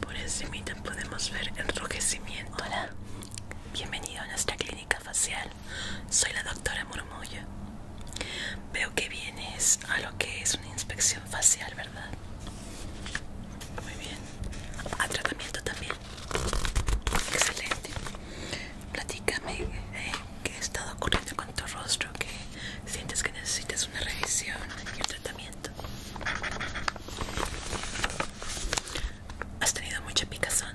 Por encima podemos ver enrojecimiento. Hola, bienvenido a nuestra clínica facial. Soy la doctora Murmullo. Veo que vienes a lo que es una inspección facial, ¿verdad? Muy bien. ¿A tratamiento también? Excelente platícame eh, qué ha estado ocurriendo con tu rostro, que sientes que necesitas una revisión y un tratamiento. Has tenido mucha picazón,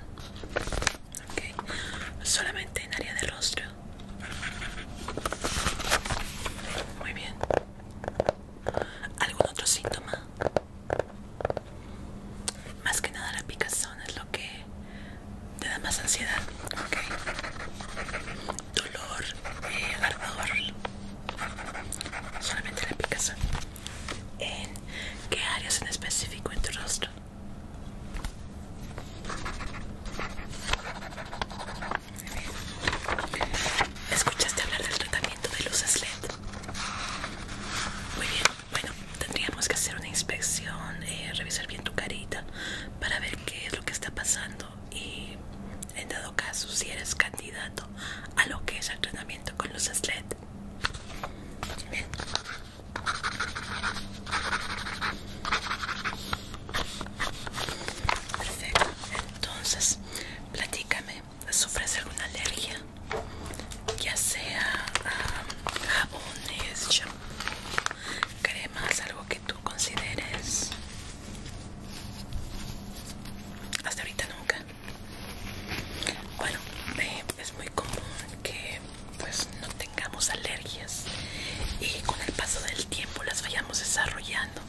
solamente en área de rostro. Muy bien. ¿Algún otro síntoma? Más que nada la picazón es lo que te da más ansiedad, ok. Dolor, y eh, ardor, solamente la picazón. ¿En qué áreas en específico en tu rostro? ¿Escuchaste hablar del tratamiento de luces LED? Muy bien. Bueno, tendríamos que hacer una inspección, eh, revisar bien tu carita para ver qué es lo que está pasando y en dado caso si eres candidato a lo que es el entrenamiento con los LED. Perfecto. Entonces, platícame, ¿sufres alguna alergia? ya sea jabones, shampoo, algo que tú consideres. Hasta ahorita nunca. Bueno, es muy común que pues no tengamos alergias y con el paso del tiempo las vayamos desarrollando.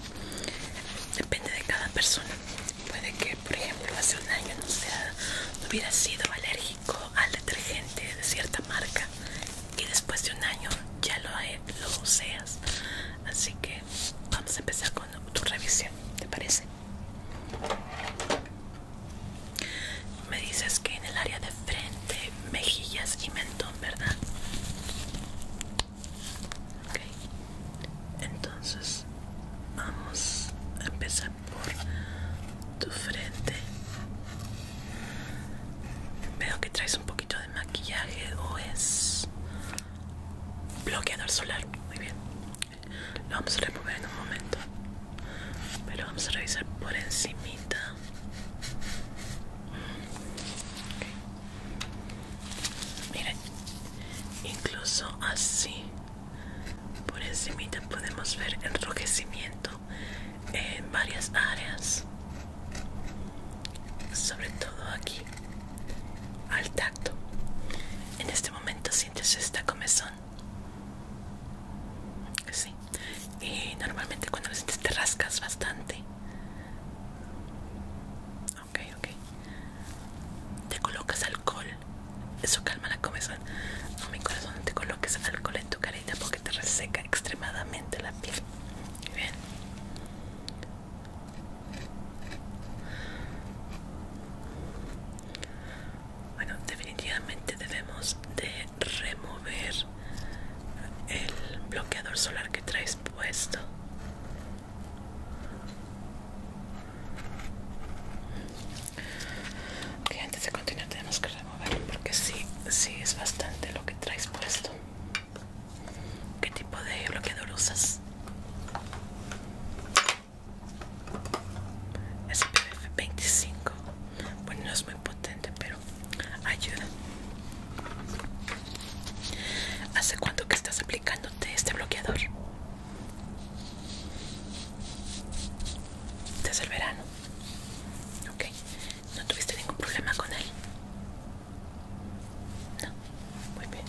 Depende de cada persona. Puede que, por ejemplo, hace un año no, no hubiera sido alérgica al detergente de cierta marca y después de un año ya lo, eh, lo seas así que vamos a empezar con tu revisión ¿te parece? me dices que en el área de frente mejillas y mentón ¿verdad? entonces vamos a empezar por tu frente. Veo que traes un poquito de maquillaje o es bloqueador solar. Muy bien. Lo vamos a remover en un momento. Pero vamos a revisar por encimita. Miren, incluso así por encimita podemos ver enrojecimiento en varias áreas sobre todo aquí al tacto en este momento sientes esta comezón sí y normalmente cuando lo sientes te rascas bastante ok ok te colocas alcohol eso calma la cabeza No, mi corazón, no te coloques alcohol en tu carita porque te reseca extremadamente la piel. Muy bien. Bueno, definitivamente debemos de remover el bloqueador solar que traes puesto. Ok, antes de continuar tenemos que removerlo porque sí, sí es bastante lo que traes puesto. ¿Qué tipo de bloqueador usas? SPF 25. Bueno, no es muy potente, pero ayuda. ¿Hace cuánto que estás aplicándote este bloqueador? Desde el verano. Ok, ¿no tuviste ningún problema con él? No, muy bien.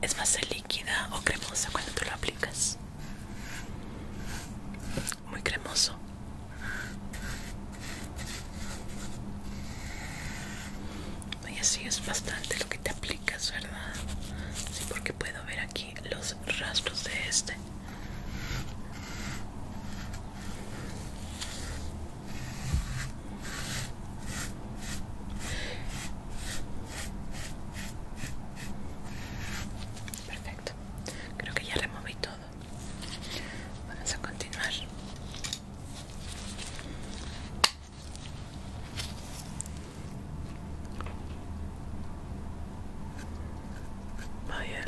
¿Es más líquida o cremosa cuando tú lo aplicas? Muy cremoso y así es bastante lo que te aplicas verdad sí porque puedo ver aquí los rastros de este Perfecto, creo que ya removí todo. Vamos a continuar. Vaya,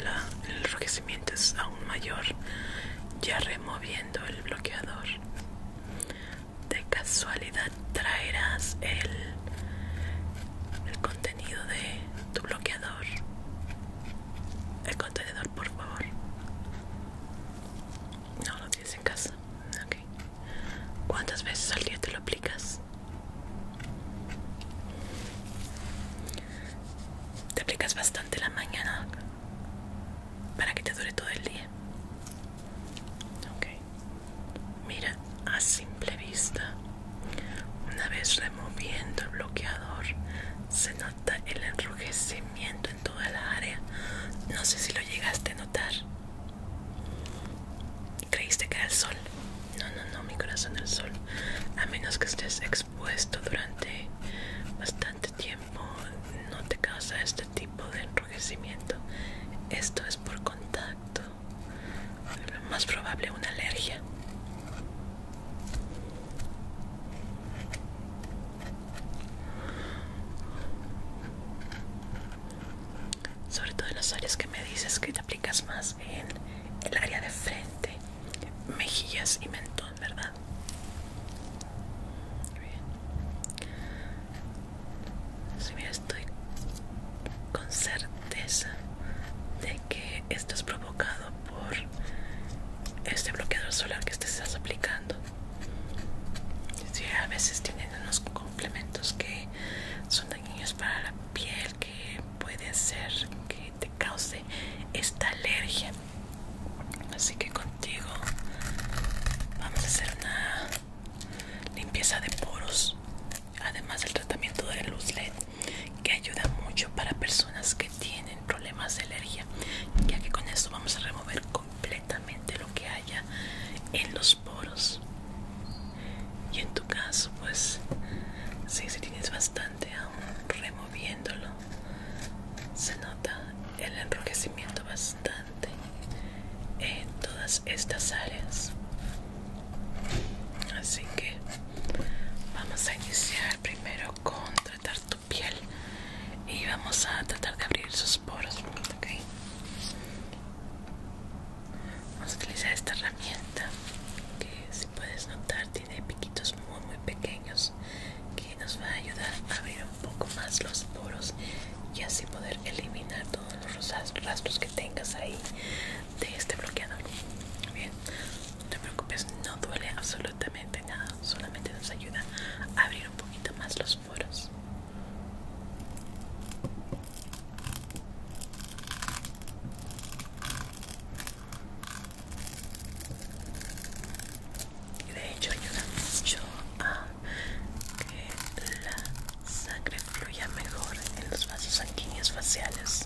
el enrojecimiento es aún mayor. Ya removiendo el bloqueador. De casualidad traerás el, el contenido de tu bloqueador. El contenedor, por favor. No lo en casa. ¿Cuántas veces al día te lo aplicas? Te aplicas bastante la mañana para que te dure todo el día. Mira, a simple vista, una vez removiendo el bloqueador, se nota el enrojecimiento en toda la área. No sé si lo llegaste a notar. ¿Creíste que era el sol? No, no, no, mi corazón, el sol. A menos que estés expuesto durante bastante tiempo, no te causa este tipo de enrojecimiento. Esto es por contacto. Lo más probable una alergia sobre todo en las áreas que me dices que te aplicas más en el área de frente mejillas y mentón verdad bien estoy con certeza de que esto es provocado por este bloqueador solar que te estás aplicando a veces tienen unos complementos que son dañinos para la piel que puede ser que te cause esta alergia. Así que contigo vamos a hacer una limpieza de poros, además del tratamiento de luz LED que ayuda mucho para personas que tienen problemas de alergia, ya que con esto vamos a remover completamente lo que haya en los poros y en tu caso pues si, se tienes bastante aún removiéndolo se nota el enrojecimiento bastante en todas estas áreas así que vamos a iniciar primero con tratar piel y vamos a tratar de abrir sus poros vamos a utilizar esta herramienta que si puedes notar tiene piquitos muy muy pequeños que nos va a ayudar a abrir un poco más los poros y así poder eliminar todos los rastros que tengas ahí de este bloqueador bien no te preocupes no duele absolutamente nada solamente nos ayuda a abrir un poquito más los de hecho ayuda mucho a que la sangre fluya mejor en los vasos sanguíneos faciales.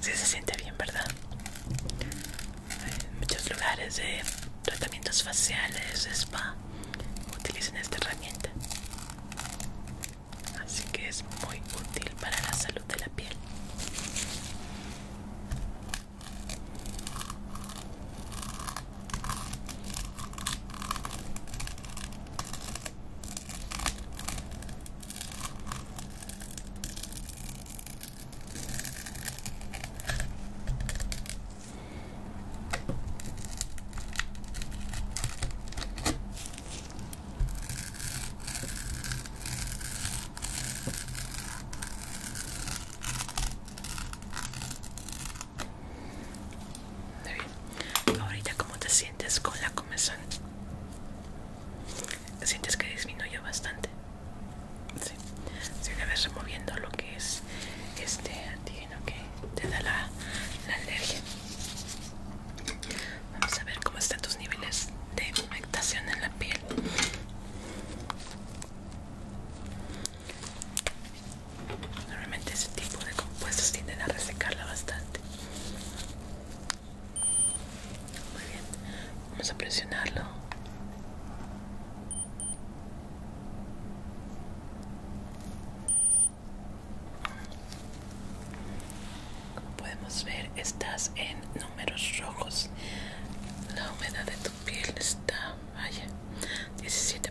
Sí se siente bien, ¿verdad? muchos lugares de tratamientos faciales, spa, utilizan esta herramienta. Así que es muy útil para la salud de la piel. Muy bien. Ahorita, ¿cómo te sientes con la comezón? ¿Sientes que disminuye bastante? Si una vez removiendo lo que es este antígeno que te da la, alergia. Vamos a ver cómo están tus niveles de humectación en la piel. Normalmente ese tipo de compuestos tienden a resecarla bastante. Muy bien, vamos a presionarlo. Como podemos ver, estás en números rojos. La humedad de tu piel está, vaya, 17%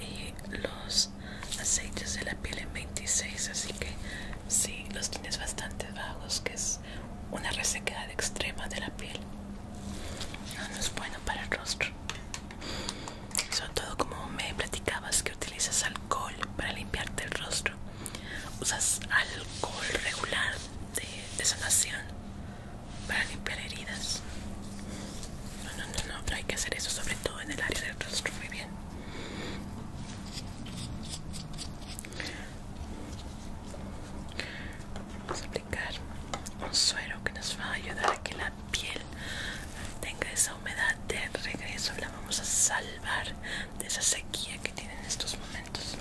y los aceites de la piel en 26, así que sí, los tienes bastante bajos, que es una resequedad extrema de la piel. No, es bueno para el rostro. Sobre todo como me platicabas que utilizas alcohol para limpiarte el rostro. Usas alcohol regular de, sanación para limpiar heridas. No, no, no, no, no hay que hacer eso, sobre todo en el área del rostro. Muy bien. Vamos a aplicar un suero que nos va a ayudar a que la piel tenga esa humedad de regreso. La vamos a salvar de esa sequía que tiene en estos momentos.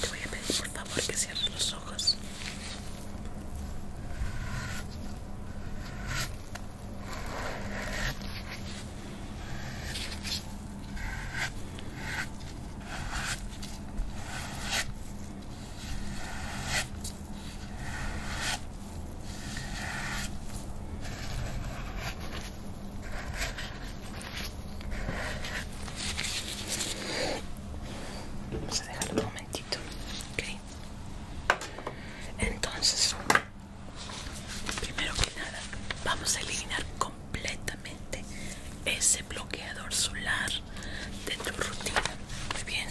Te voy a pedir por favor que cierres los ojos. Vamos a dejarlo un momentito, ok Entonces, primero que nada, vamos a eliminar completamente ese bloqueador solar de tu rutina. Muy bien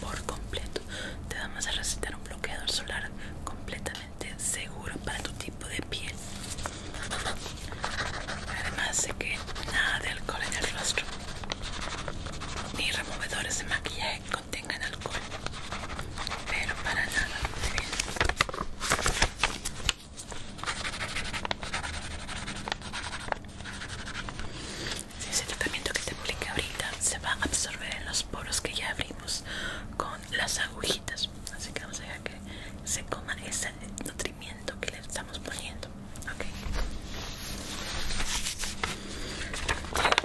por completo. Te vamos a recetar un bloqueador solar completamente seguro para tu tipo de piel. Además de que nada de alcohol en el rostro, ni removedores de maquillaje contengan alcohol, pero para nada. Ese tratamiento que te apliqué ahorita se va a absorber en los poros que ya abrimos con las agujitas. Así que vamos a dejar que se coma ese nutrimiento que le estamos poniendo.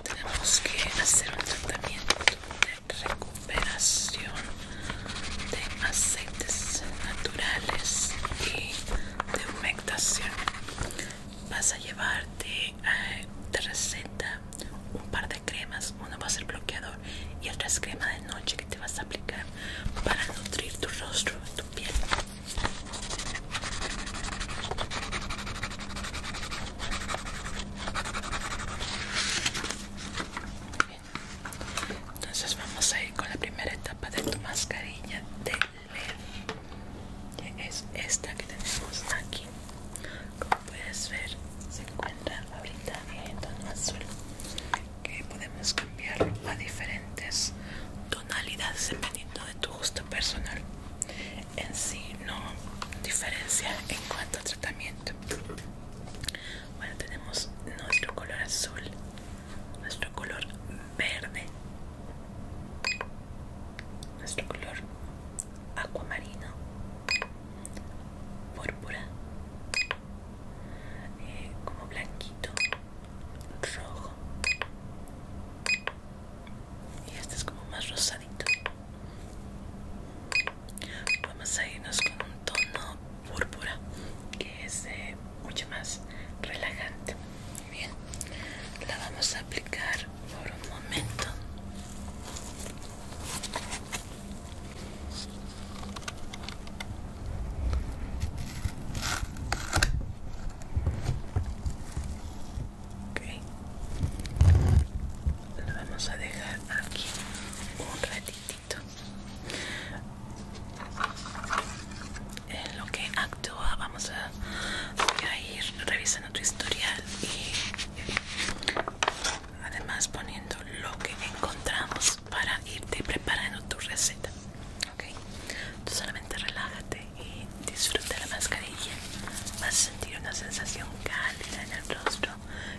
tenemos que hacer un tratamiento de recuperación de aceites naturales y de humectación vas a llevarte eh, te receta un par de cremas una va a ser bloqueador y otra es crema de noche que te vas a aplicar para nutrir tu rostro tu piel Bien. Entonces vamos a ir con la primera etapa de tu mascarilla de que es esta que tenemos aquí como puedes ver se encuentra ahorita en tono azul que podemos cambiar a diferentes tonalidades dependiendo de tu gusto personal en sí no diferencia en cuanto a tratamiento bueno tenemos nuestro color azul nuestro color verde nuestro color acuamarino púrpura eh, como blanquito rojo y este es como más rosadito vamos a irnos con un tono púrpura que es eh, mucho más relajante bien la vamos a aplicar por un momento okay. lo vamos a dejar aquí un ratitito en lo que actúa vamos a, ir revisando tu historial y además poniendo lo que encontramos para irte preparando tu receta ok solamente relájate y disfruta la mascarilla vas a sentir una sensación cálida en el rostro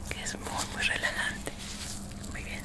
que es muy muy relajante muy bien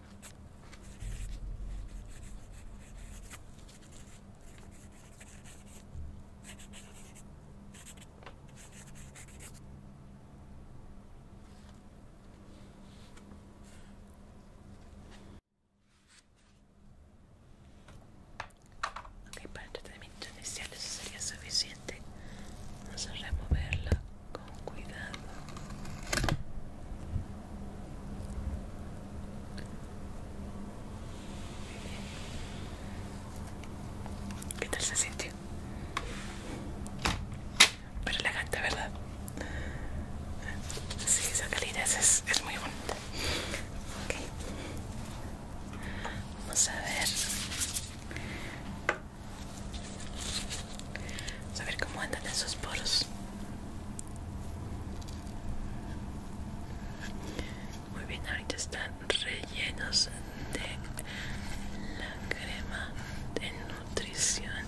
Ok, para el tratamiento inicial eso sería suficiente. Vamos a removerla con cuidado. ¿Qué tal se siente? Pero elegante, ¿verdad? Sí, esa calidez es, muy bonita. Okay. Vamos a ver. Vamos a ver cómo andan esos poros. Muy bien, ahorita están rellenos de la crema de nutrición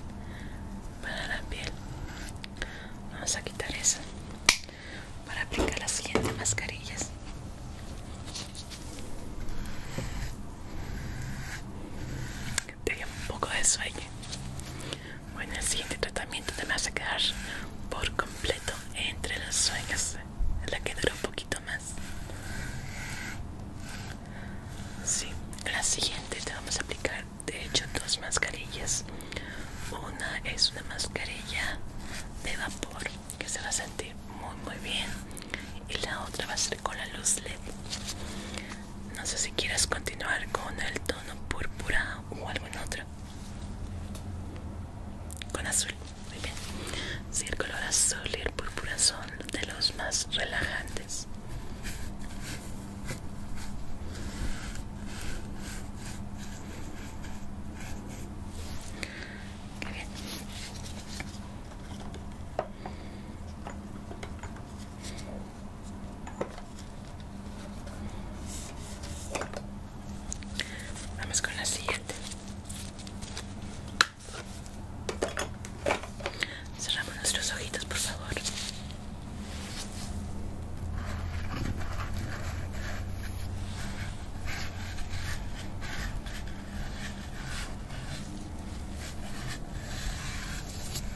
para la piel. Vamos a quitar esa para aplicar las siguientes mascarillas te un poco de sueño. Bueno, el siguiente tratamiento te vas a quedar por completo entre los sueños, la que dura un poquito más. Sí, la siguiente te vamos a aplicar, de hecho, dos mascarillas. Una es una mascarilla de vapor que se va a sentir muy muy bien y la otra va a ser con la luz LED no sé si quieres continuar con el tono púrpura o algún otro. Con azul, muy bien. Si el color azul y el púrpura son de los más relajantes. Muy bien. Vamos con la siguiente. Cerramos nuestros ojitos, por favor.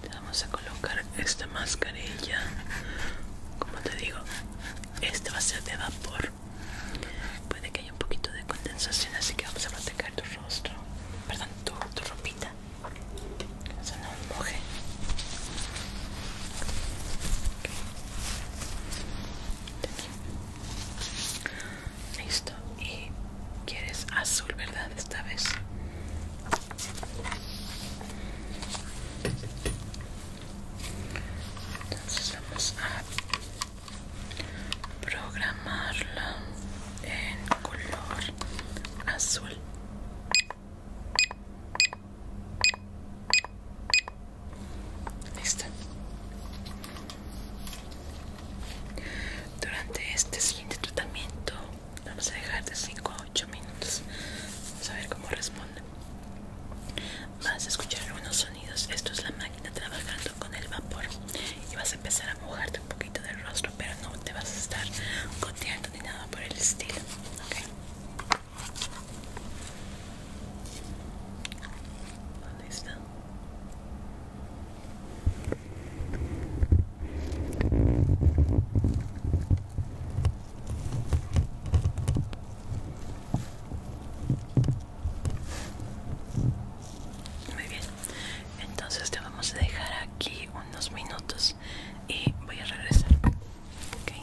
te vamos a colocar esta mascarilla como te digo este va a ser de vapor puede que haya un poquito de condensación así que vamos a proteger tu rostro perdón tu, ropita que no se nos moje listo y quieres azul verdad esta vez entonces vamos a programarla en color azul. Listo. Durante este siguiente tratamiento Vamos a dejar de 5 a 8 minutos. Vamos a ver cómo responde. Vas a escuchar algunos sonidos. Esto es la máquina trabajando con el vapor. Y vas a empezar a mojarte un poquito del rostro, pero no te vas a estar goteando ni nada por el estilo. está? Muy bien, entonces te vamos a dejar aquí unos minutos y voy a regresar. Okay.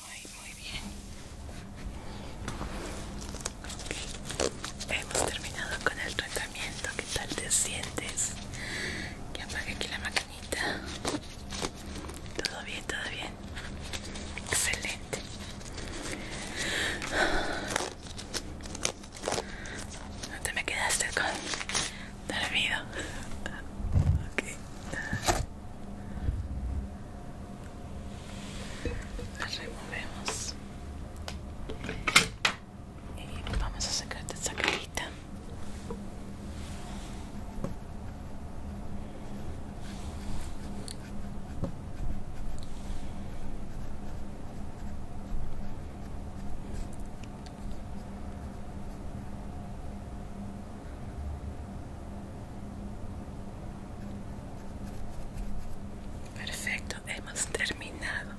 Muy, muy bien. Hemos terminado con el tratamiento. ¿Qué tal te sientes? Que apague aquí la maquinita. Todo bien, todo bien. Excelente. No te me quedaste con dormido. Okay. removemos. Y vamos a sacarte esa cajita. Perfecto, hemos terminado.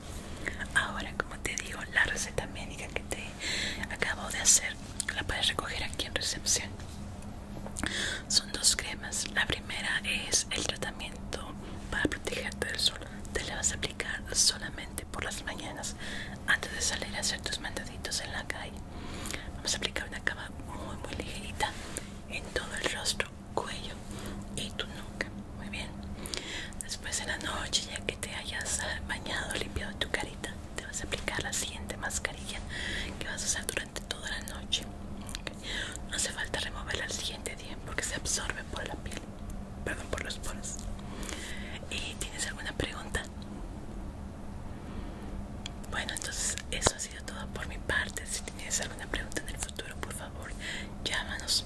Ahora, como te digo, la receta médica que te acabo de hacer la puedes recoger aquí en recepción. Son dos cremas. La primera es el tratamiento para protegerte del sol. Te la vas a aplicar solamente por las mañanas antes de salir a hacer tus mandaditos en la calle. Vamos a aplicar una cama muy muy ligerita en todo el rostro, cuello y tu nuca. Muy bien. Después en la noche, ya que te hayas bañado, limpiado tu carita, te vas a aplicar la siguiente mascarilla que vas a usar durante toda la noche. No hace falta removerla al siguiente día porque se absorbe por la piel. Perdón por los poros. ¿Y tienes alguna pregunta? Bueno, entonces eso ha sido todo por mi parte. Si tienes alguna pregunta en el futuro, por favor, llámanos.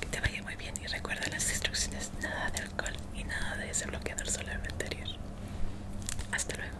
Que te vaya muy bien y recuerda las instrucciones: nada de alcohol y nada de ese bloqueador solar anterior. Hasta luego.